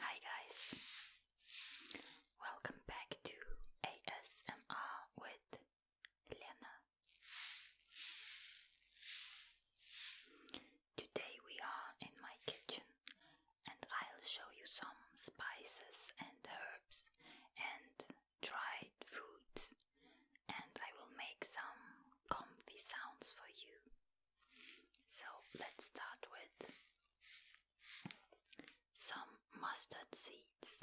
Hi guys, welcome back to ASMR with Lena. Today we are in my kitchen and I'll show you some spices and herbs and dried food and I will make some comfy sounds for you. So let's start with some mustard seeds.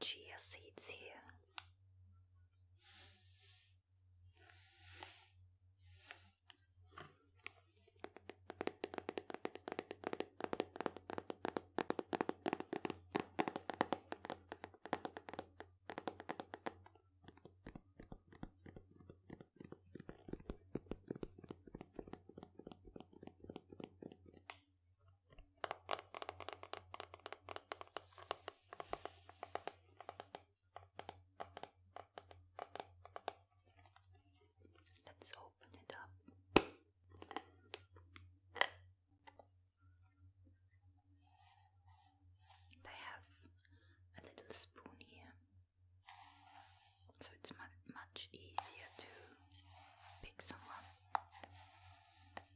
chia seeds here. Let's open it up. I have a little spoon here, so it's much easier to pick someone.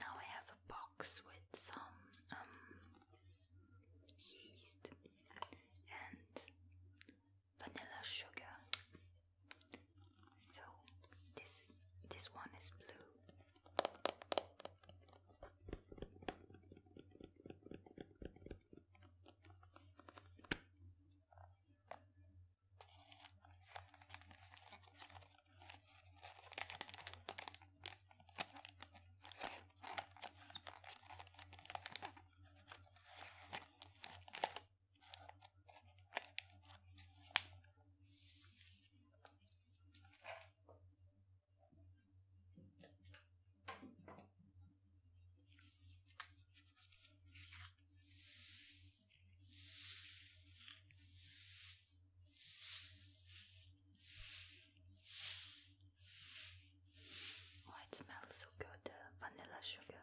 Now I have a box with some um, yeast and vanilla sugar so this this one is blue. Oh, it smells so good, uh, vanilla sugar.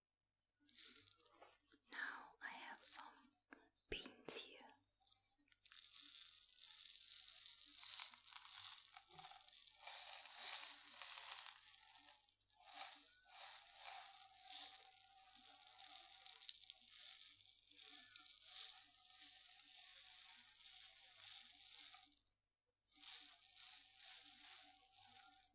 Now I have some beans here.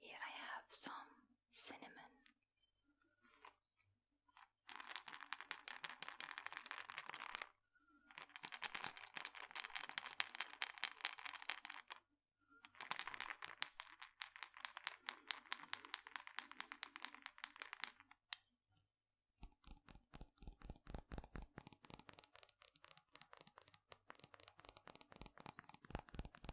Here I have some cinnamon.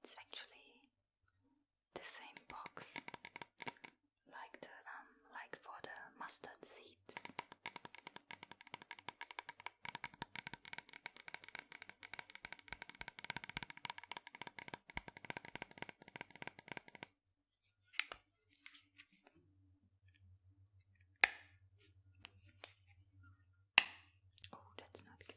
It's actually the same box like the um, like for the mustard seeds. Oh, that's not good.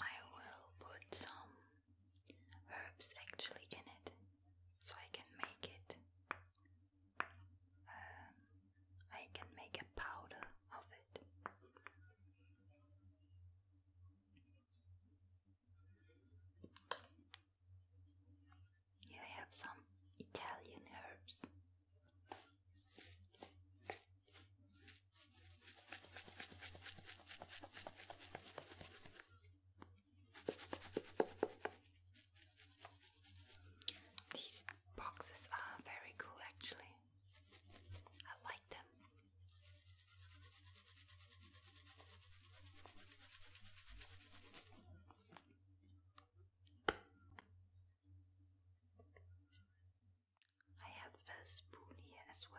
I will put some herbs actually in it so I can make it um, I can make a powder of it. Here I have some Italian herbs. These Boxes are very cool actually. I like them. I have a spoon here as well.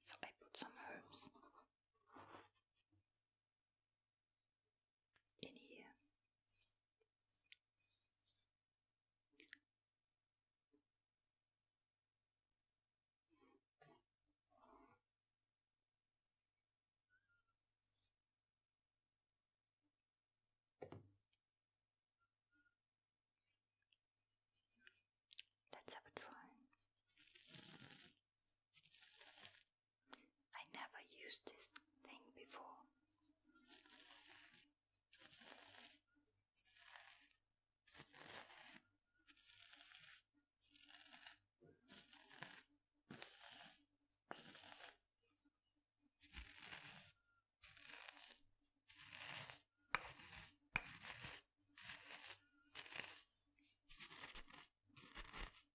So I put some herbs in here. Let's have a try. I never used this thing before.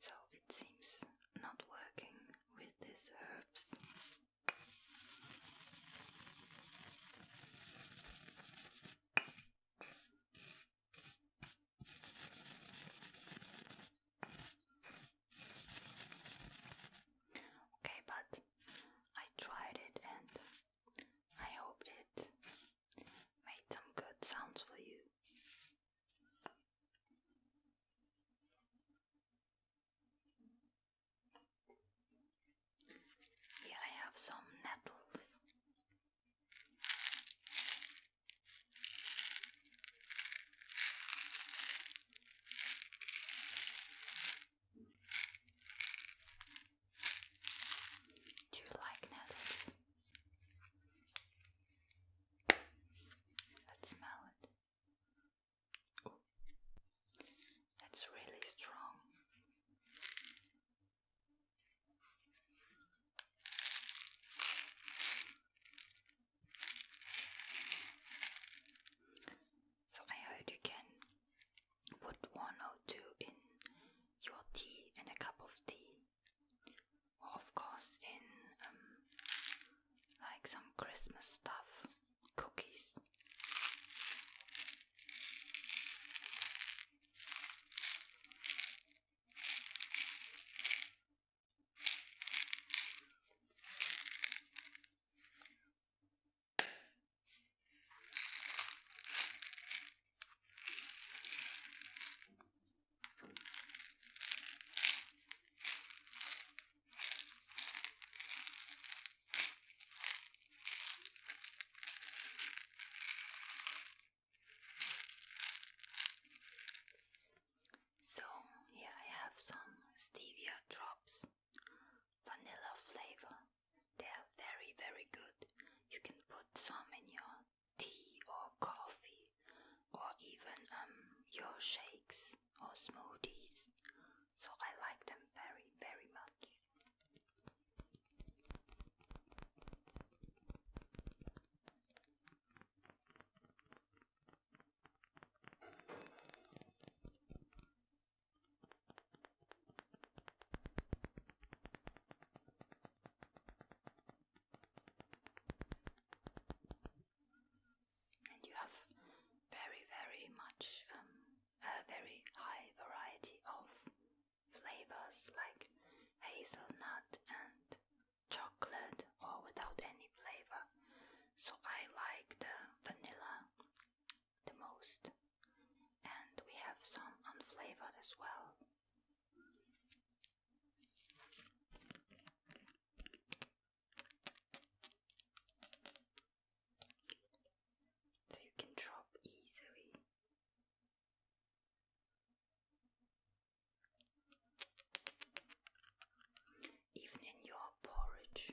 So it seems not working with these herbs. Okay, but I tried it and I hope it made some good sounds for you. Here I have some nettles. Do you like nettles? Let's smell it. Ooh. It's really strong. So I heard you can put one or two in your tea and a cup of tea, of course in um, like some Christmas stuff, cookies. So, here I have some stevia drops vanilla flavor. They are very, very good. You can put some in your tea or coffee, or even um, your shakes or smoothies. So I like them very, very much. And you have very, very much, um, a very high variety of flavors like hazelnut and chocolate or without any flavor. So I like the vanilla the most. And we have some unflavored as well. So you can drop easily. Even in your porridge,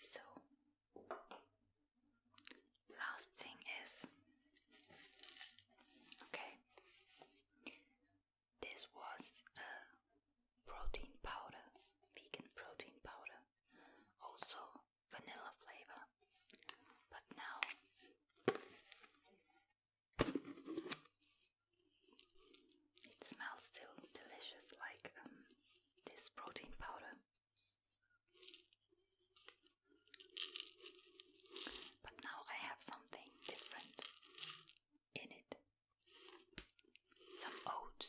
So, last thing is okay, this was a protein powder, vegan protein powder, also vanilla flavor. But now it smells still delicious like um, this protein powder. But now I have something different in it some oats.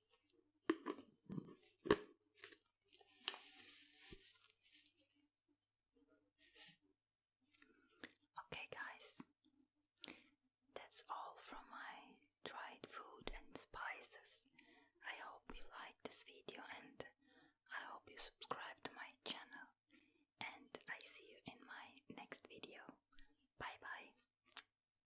Okay, guys, that's all from my dried food and spices. I hope you like this video and I hope you subscribe to my channel. And I see you in my next video. Bye bye.